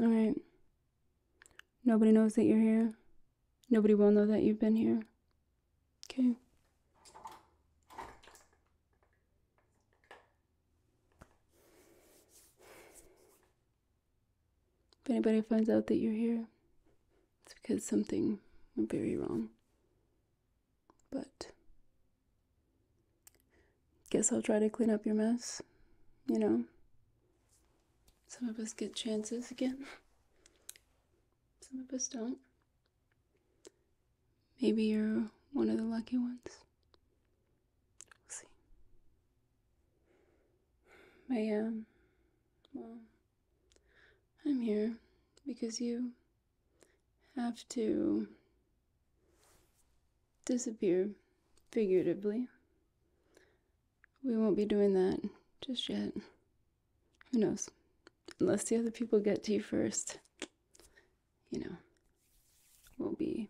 All right. Nobody knows that you're here. Nobody will know that you've been here. Okay. If anybody finds out that you're here, it's because something went very wrong. But guess I'll try to clean up your mess. You know, some of us get chances again, some of us don't. Maybe you're one of the lucky ones. We'll see. I am. well. I'm here because you have to disappear figuratively. We won't be doing that just yet. Who knows? Unless the other people get to you first, you know, we'll be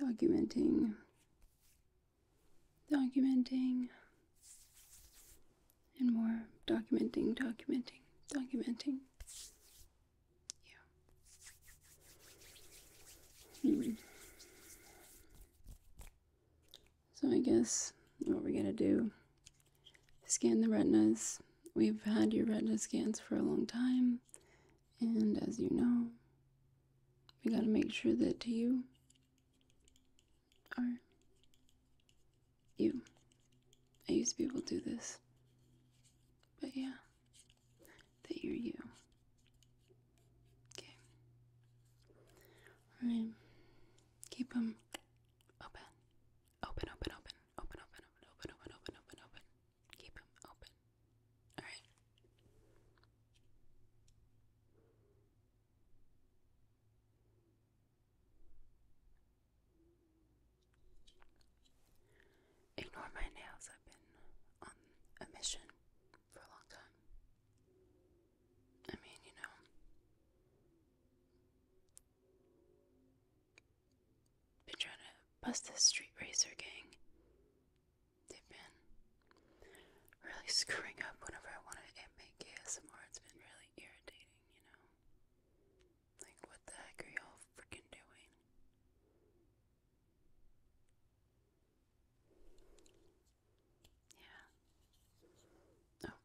documenting, documenting and more documenting, documenting, documenting. Yeah. Hmm. So I guess what we're gonna do scan the retinas. We've had your retina scans for a long time, and as you know, we gotta make sure that to you are you. I used to be able to do this. But yeah, they you're you. Okay. Alright. Keep them open. Open, open, open. Open, open, open, open, open, open, open, open. Keep them open. Alright. Ignore my nails, I've been on a mission for a long time. I mean, you know, been trying to bust this street racer gang. They've been really screwing up whenever I want to make ASMR. It's been really irritating you know? Like, what the heck are y'all freaking doing? Yeah. Oh.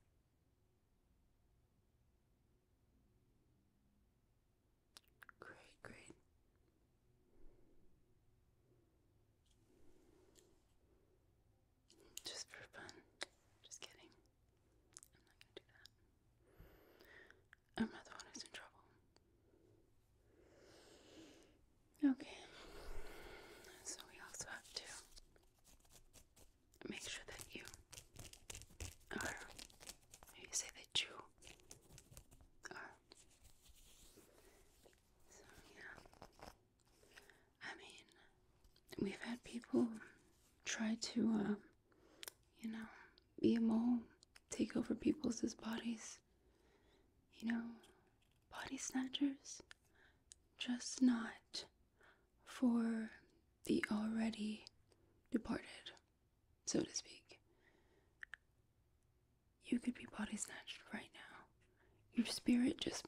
Great, great. Just for fun. Just kidding. I'm not gonna do that. I'm not the one who's in trouble. Okay. So we also have to make sure that you are maybe say that you are so yeah. I mean, we've had people try to, uh, you know, be a mole, take over people's bodies. You know, body snatchers, just not for the already departed, so to speak. You could be body snatched right now. Your spirit just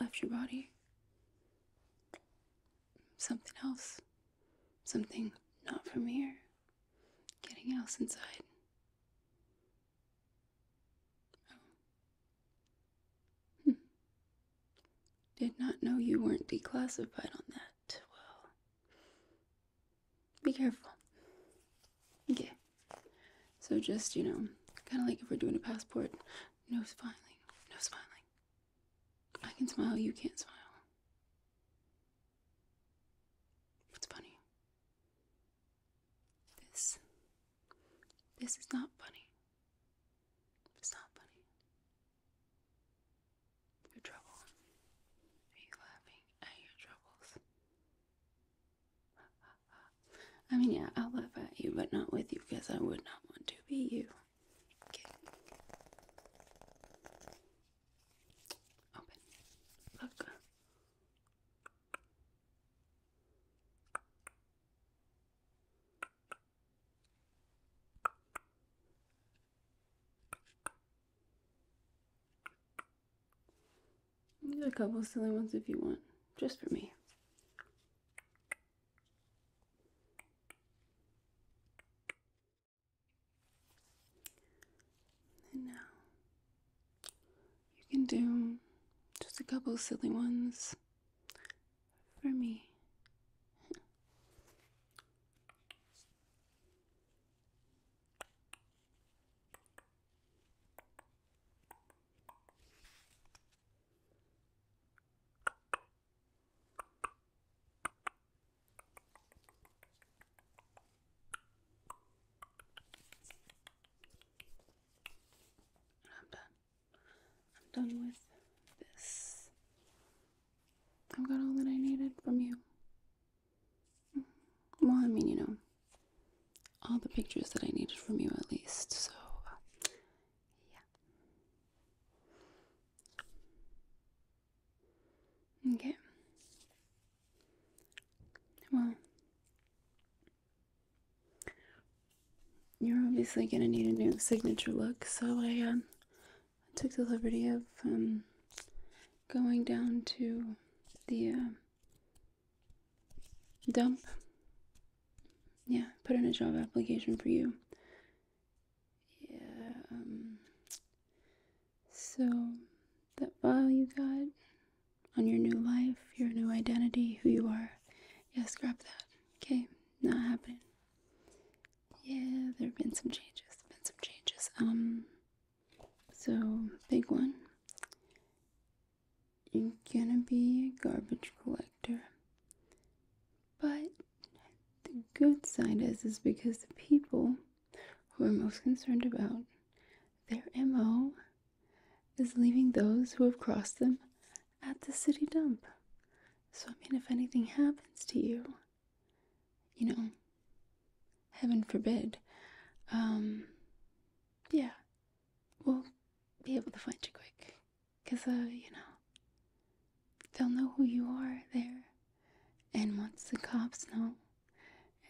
left your body something else. Something not from here. Getting else inside. Oh. Hmm. Did not know you weren't declassified on that. Well, be careful. Okay. So just, you know, kind of like if we're doing a passport, no smiling. No smiling. I can smile, you can't smile. What's funny? This. This is not funny. It's not funny. Your trouble. Are you laughing at your troubles? I mean, yeah, I'll laugh at you, but not with you because I would not want to be you. Okay. Open. Look. a couple silly ones if you want, just for me. And now you can do just a couple silly ones for me. I'm done. I'm done with this. I've got all that I needed from you. Mm-hmm. Well, I mean, you know, all the pictures that I needed from you at least. So, uh, yeah. Okay. Well, you're obviously gonna need a new signature look, so I uh, took the liberty of um, going down to the uh, dump. Yeah, put in a job application for you. Yeah, um, so that file you got on your new life, your new identity, who you are, Yes, grab that. Okay, not happening. Yeah, there have been some changes. Been some changes. Um, so big one you're gonna be a garbage collector. But the good side is, is because the people who are most concerned about their MO is leaving those who have crossed them at the city dump. So, I mean, if anything happens to you, you know, heaven forbid, um, yeah, we'll be able to find you quick. Because, uh, you know, they'll know who you are there. And once the cops know,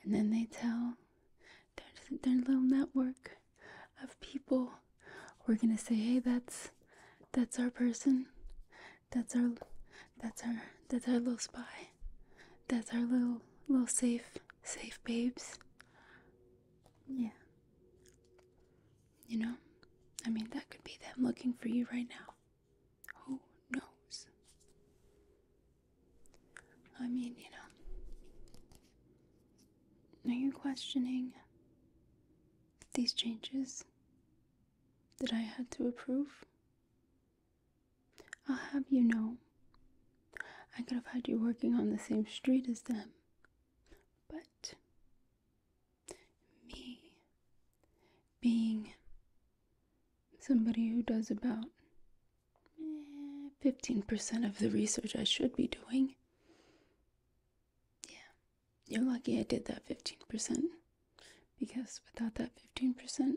and then they tell their, their little network of people, we're gonna say, hey, that's that's our person, that's our that's our that's our little spy, that's our little little safe safe babes. Yeah. You know? I mean, that could be them looking for you right now. Who knows? I mean, you know. Are you questioning these changes that I had to approve? I'll have you know, I could have had you working on the same street as them but me being somebody who does about 15% eh, of the research I should be doing. Yeah, you're lucky I did that 15%, because without that 15%,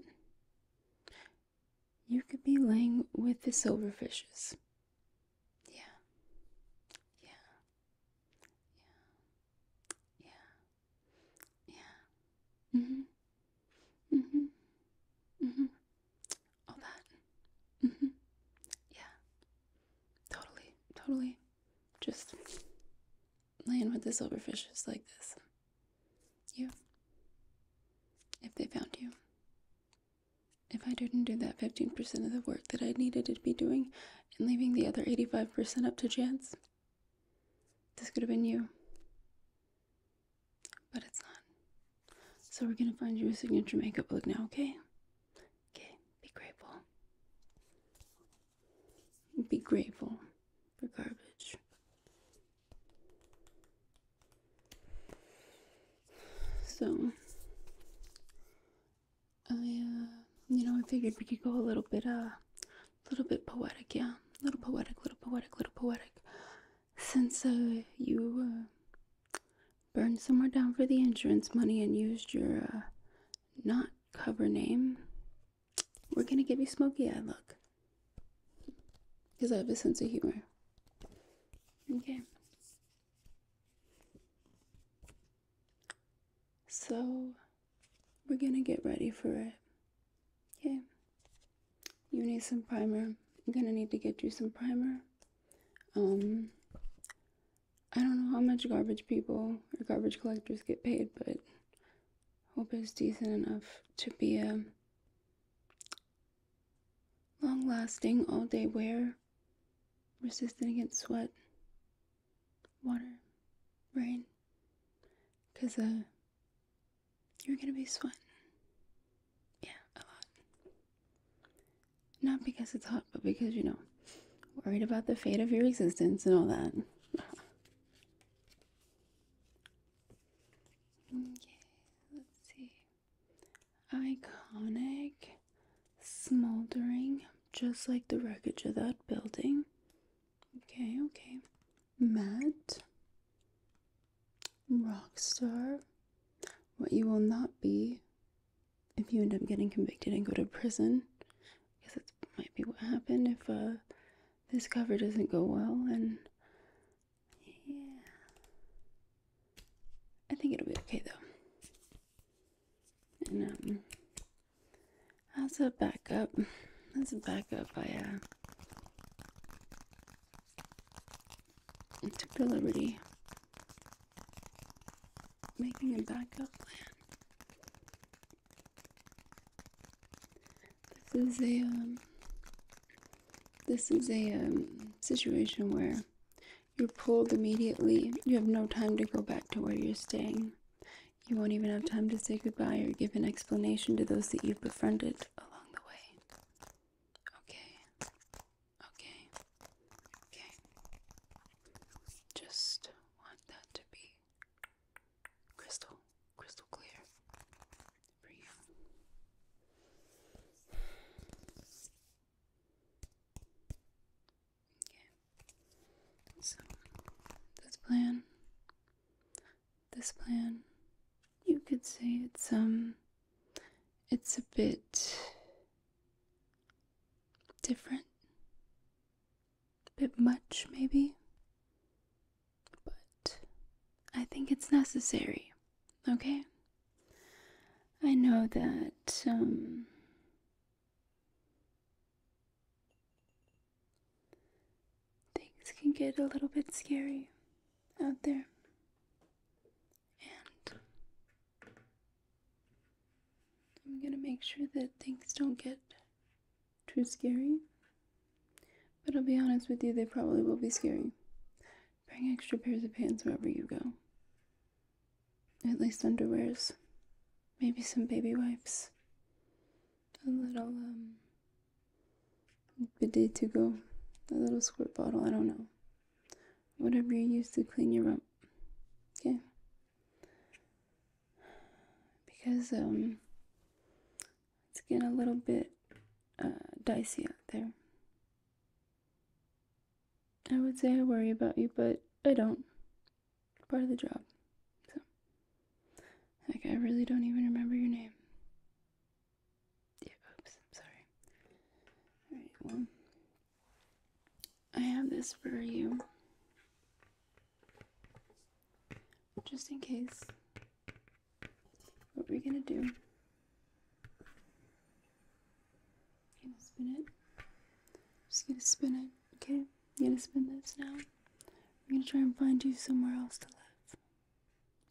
you could be laying with the silverfishes yeah. Yeah. Yeah. Yeah. Yeah. Mhm. Mm mhm. Mm mhm. All that. Mhm. Yeah. Totally. Totally. Just laying with the silverfishes like this. You. If they found you. If I didn't do that 15% of the work that I needed to be doing and leaving the other 85% up to chance, this could have been you. But it's not. So we're gonna find you a signature makeup look now, okay? Okay, be grateful. Be grateful for garbage. So, I, uh, you know, I figured we could go a little bit, uh, a little bit poetic, yeah, a little poetic, little poetic, little poetic. Since uh, you uh, burned somewhere down for the insurance money and used your uh, not cover name, we're gonna give you smoky eye look. Because I have a sense of humor. Okay. So, we're gonna get ready for it. Okay. You need some primer. I'm gonna need to get you some primer. Um, I don't know how much garbage people or garbage collectors get paid, but hope it's decent enough to be a long lasting all day wear air, resistant against sweat, water, rain. Because uh, you're going to be sweating. Yeah, a lot. Not because it's hot, but because, you know, worried about the fate of your existence and all that. okay, let's see. Iconic, smoldering, just like the wreckage of that building. Okay, okay. mad rock star, what you will not be if you end up getting convicted and go to prison. Because that might be what happened if uh, this cover doesn't go well and. Yeah. I think it'll be okay though. And as um, a backup, as a backup, I uh, took the liberty making a backup plan. This is a um, this is a um, situation where you're pulled immediately. You have no time to go back to where you're staying. You won't even have time to say goodbye or give an explanation to those that you've befriended along the way. Okay. Okay. Okay. Just want that to be crystal, crystal clear for you. So, this plan, this plan, you could say it's, um, it's a bit different, a bit much maybe, but I think it's necessary, okay? I know that um, things can get a little bit scary out there. And I'm going to make sure that things don't get too scary. But I'll be honest with you, they probably will be scary. Bring extra pairs of pants wherever you go. At least underwears. Maybe some baby wipes. A little, um, bidet to go. A little squirt bottle, I don't know. Whatever you use to clean your rump. Okay? Because, um, it's getting a little bit, uh, dicey out there. I would say I worry about you, but I don't. part of the job. So, like, I really don't even remember your name. Yeah, oops, i sorry. Alright, well, I have this for you. Just in case. What are we gonna do I'm gonna spin it. just gonna spin it, okay? You am gonna spin this now. I'm gonna try and find you somewhere else to live.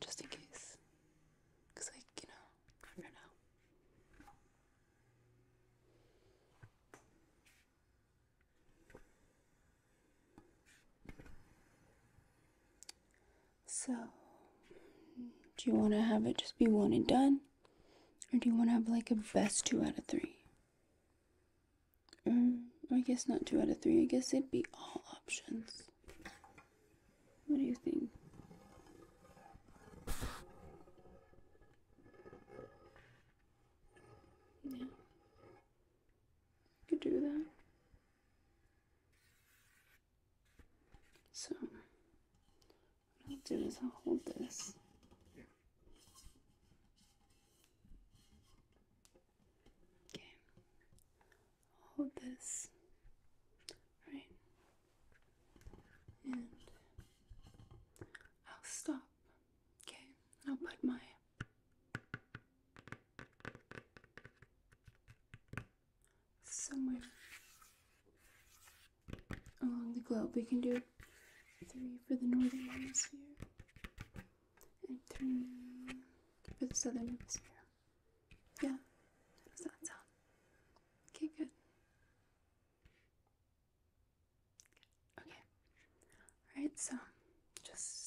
Just in case. Cause like, you know, I do so, do you want to have it just be one and done? Or do you want to have like a best two out of three? Mm, I guess not two out of three. I guess it'd be all options. What do you think? Yeah. Could do that. So, what I'll do is I'll hold this. Okay. hold this. Right. And I'll stop. Okay. I'll put my somewhere along the globe. We can do three for the northern hemisphere and three for the southern hemisphere. Yeah, does that sound? Okay, good. Okay, alright, so just.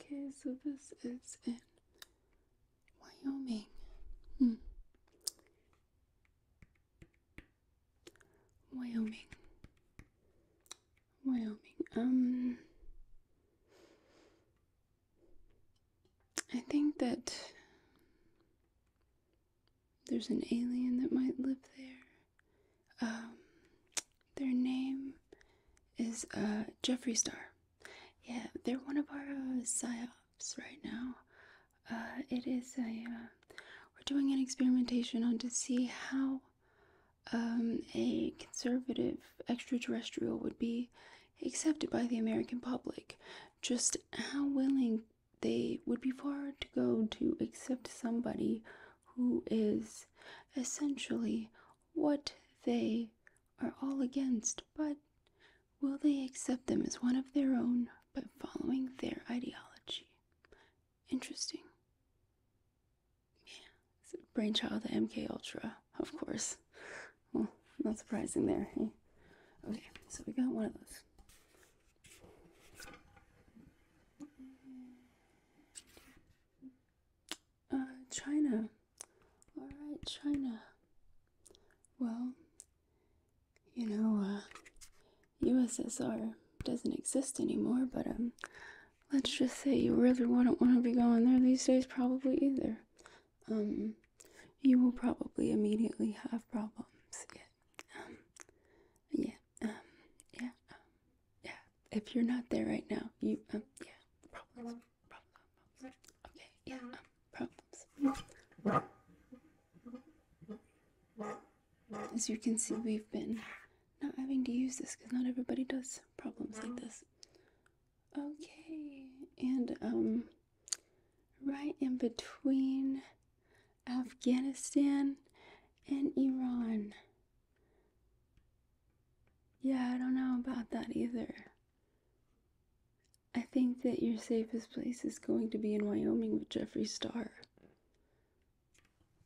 Okay, so this is in Wyoming. Hmm. Wyoming. Wyoming. Um I think that there's an alien that might live there. Um, their name is uh, Jeffrey Star. Yeah, they're one of our uh, psyops right now. Uh, it is a uh, we're doing an experimentation on to see how um, a conservative extraterrestrial would be accepted by the American public. Just how willing they would be far to go to accept somebody who is essentially what they are all against, but will they accept them as one of their own by following their ideology? Interesting. Yeah, it's a brainchild of the MK Ultra, of course. Well, not surprising there. Okay, so we got one of those. Uh, China. Alright, China. Well, you know, USSR uh, doesn't exist anymore, but, um, let's just say you really wouldn't want to be going there these days, probably either. Um, you will probably immediately have problems. Yeah. Um, yeah um, yeah, um, yeah. If you're not there right now, you, um, yeah, problems, problems. Okay, yeah, um, problems. As you can see, we've been not having to use this because not everybody does problems like this. Okay, and um, right in between Afghanistan, and Iran. Yeah, I don't know about that either. I think that your safest place is going to be in Wyoming with Jeffree Star.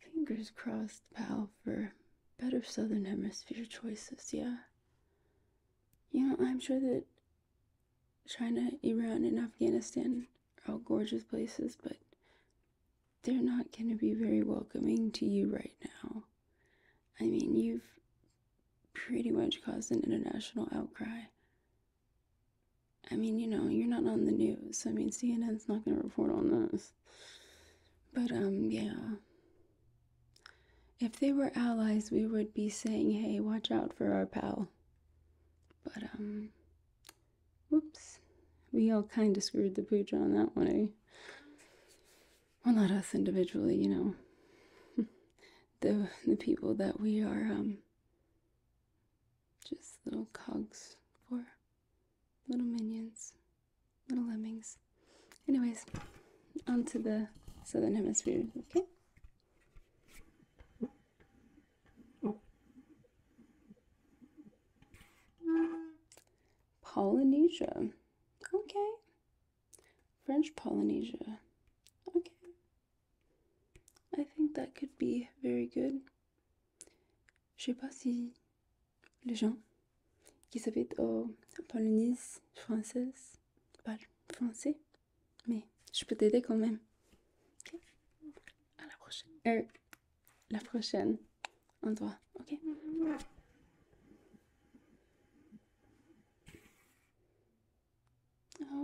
Fingers crossed, pal, for better Southern Hemisphere choices, yeah? You know, I'm sure that China, Iran, and Afghanistan all gorgeous places, but they're not going to be very welcoming to you right now. I mean, you've pretty much caused an international outcry. I mean, you know, you're not on the news. I mean, CNN's not going to report on this. But, um, yeah. If they were allies, we would be saying, hey, watch out for our pal. But, um, Whoops. We all kind of screwed the pooch on that one, eh? Well, not us individually, you know. the, the people that we are, um, just little cogs for. Little minions. Little lemmings. Anyways, onto the southern hemisphere, okay? Polynesia. Ok French Polynesia. Ok I think that could be very good. Je sais pas si les gens qui s'habitent la Polynésie française parlent français, mais je peux t'aider quand même. Ok À la prochaine. Euh, la prochaine. On droit, OK?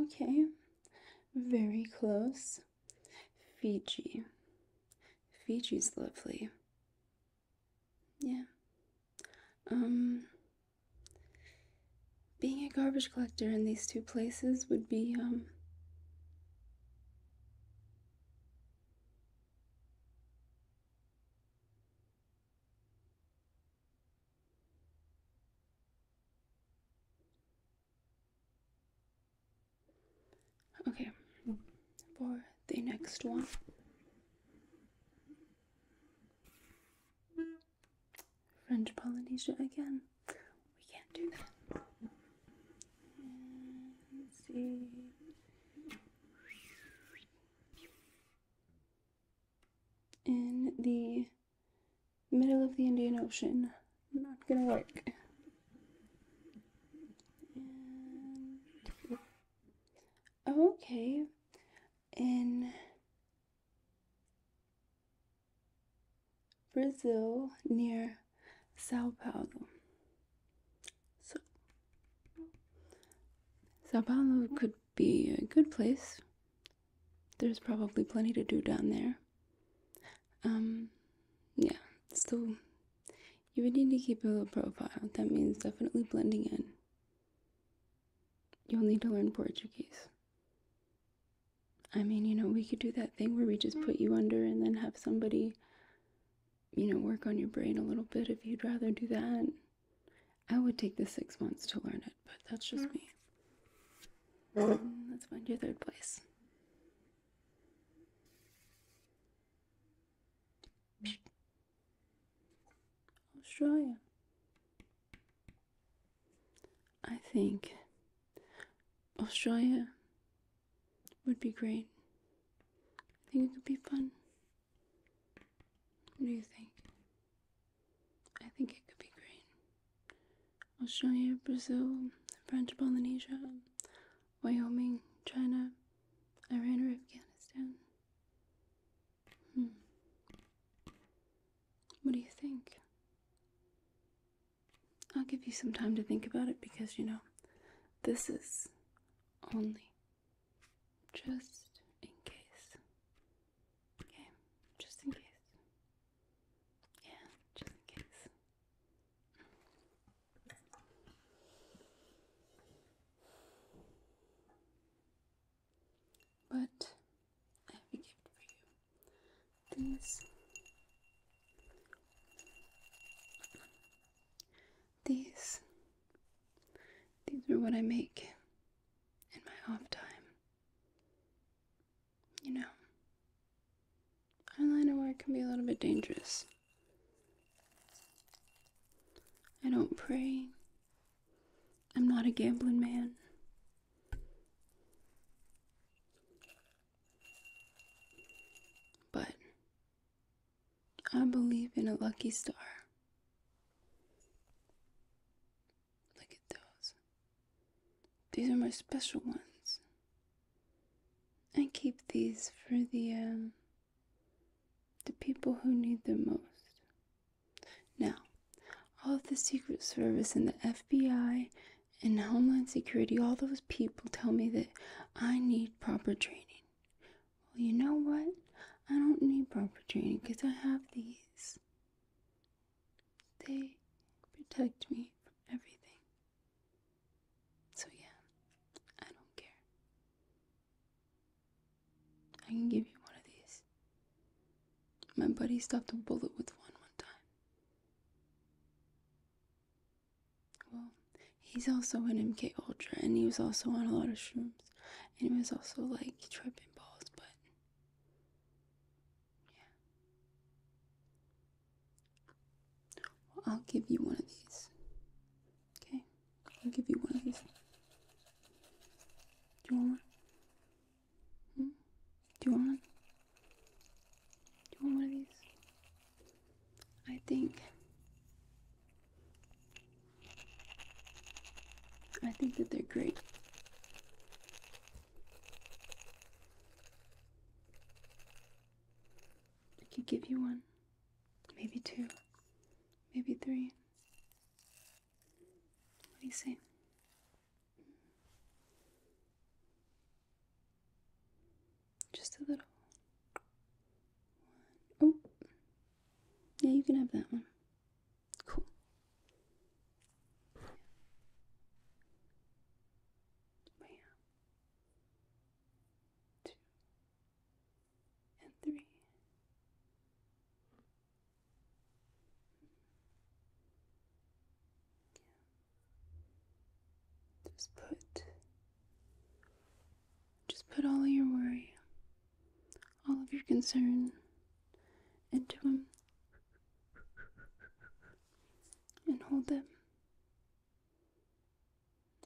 Okay. Very close. Fiji. Fiji's lovely. Yeah. Um being a garbage collector in these two places would be um Okay, for the next one, French Polynesia again we can't do that. In the middle of the Indian Ocean, not gonna work. okay, in Brazil near Sao Paulo. So, Sao Paulo could be a good place. There's probably plenty to do down there. Um, yeah, so you would need to keep a low profile. That means definitely blending in. You'll need to learn Portuguese. I mean, you know, we could do that thing where we just put you under and then have somebody, you know, work on your brain a little bit if you'd rather do that. I would take the six months to learn it, but that's just mm. me. let's find your third place. Australia. I think Australia would be great. I think it could be fun. What do you think? I think it could be great. Australia, Brazil, French Polynesia, Wyoming, China, Iran, or Afghanistan. Hmm. What do you think? I'll give you some time to think about it because, you know, this is only just in case. Okay, just in case. Yeah, just in case. But I have a gift for you these these these are what I make in my off time. You know, eyeliner work can be a little bit dangerous. I don't pray. I'm not a gambling man. But I believe in a lucky star. Look at those. These are my special ones. I keep these for the um, the people who need them most. Now, all of the Secret Service and the FBI in Homeland Security, all those people tell me that I need proper training. Well, you know what? I don't need proper training because I have these. They protect me from everything. So, yeah, I don't care. I can give you one of these. My buddy stopped a bullet with one one time. Well, he's also an MK Ultra, and he was also on a lot of shrooms, and he was also like tripping balls, but yeah. I'll give you one of these. Okay, I'll give you one of these. Do you want one? Hmm? Do you want one? Do you want one of these? I think. I think that they're great. I can give you one, maybe two, maybe three. What do you say? Just a little. Oh, yeah, you can have that one. Cool. Bam. Two and three. Just put just put all of your worry, all of your concern into them, and hold them.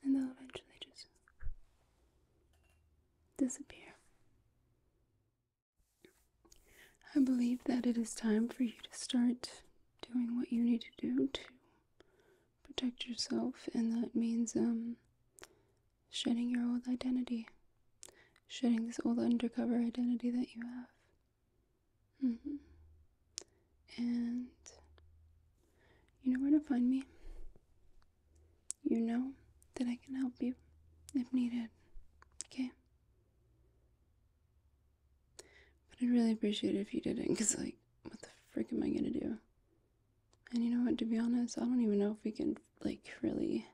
And they'll eventually just disappear. I believe that it is time for you to start doing what you need to do to protect yourself, and that means um, shedding your old identity, shedding this old undercover identity that you have. Mm-hmm. And you know where to find me. You know that I can help you if needed. Okay? But I'd really appreciate it if you didn't, because, like, what the freak am I gonna do? And you know what, to be honest, I don't even know if we can, like, really.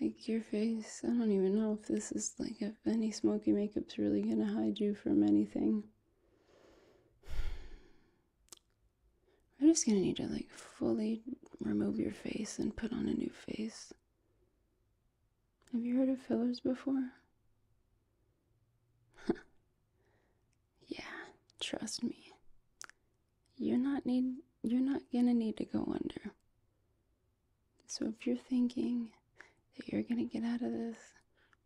Like, your face, I don't even know if this is, like, if any smoky makeup's really gonna hide you from anything. I'm just gonna need to, like, fully remove your face and put on a new face. Have you heard of fillers before? yeah, trust me. You're not need you're not gonna need to go under. So if you're thinking that you're gonna get out of this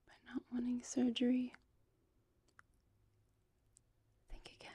by not wanting surgery, think again.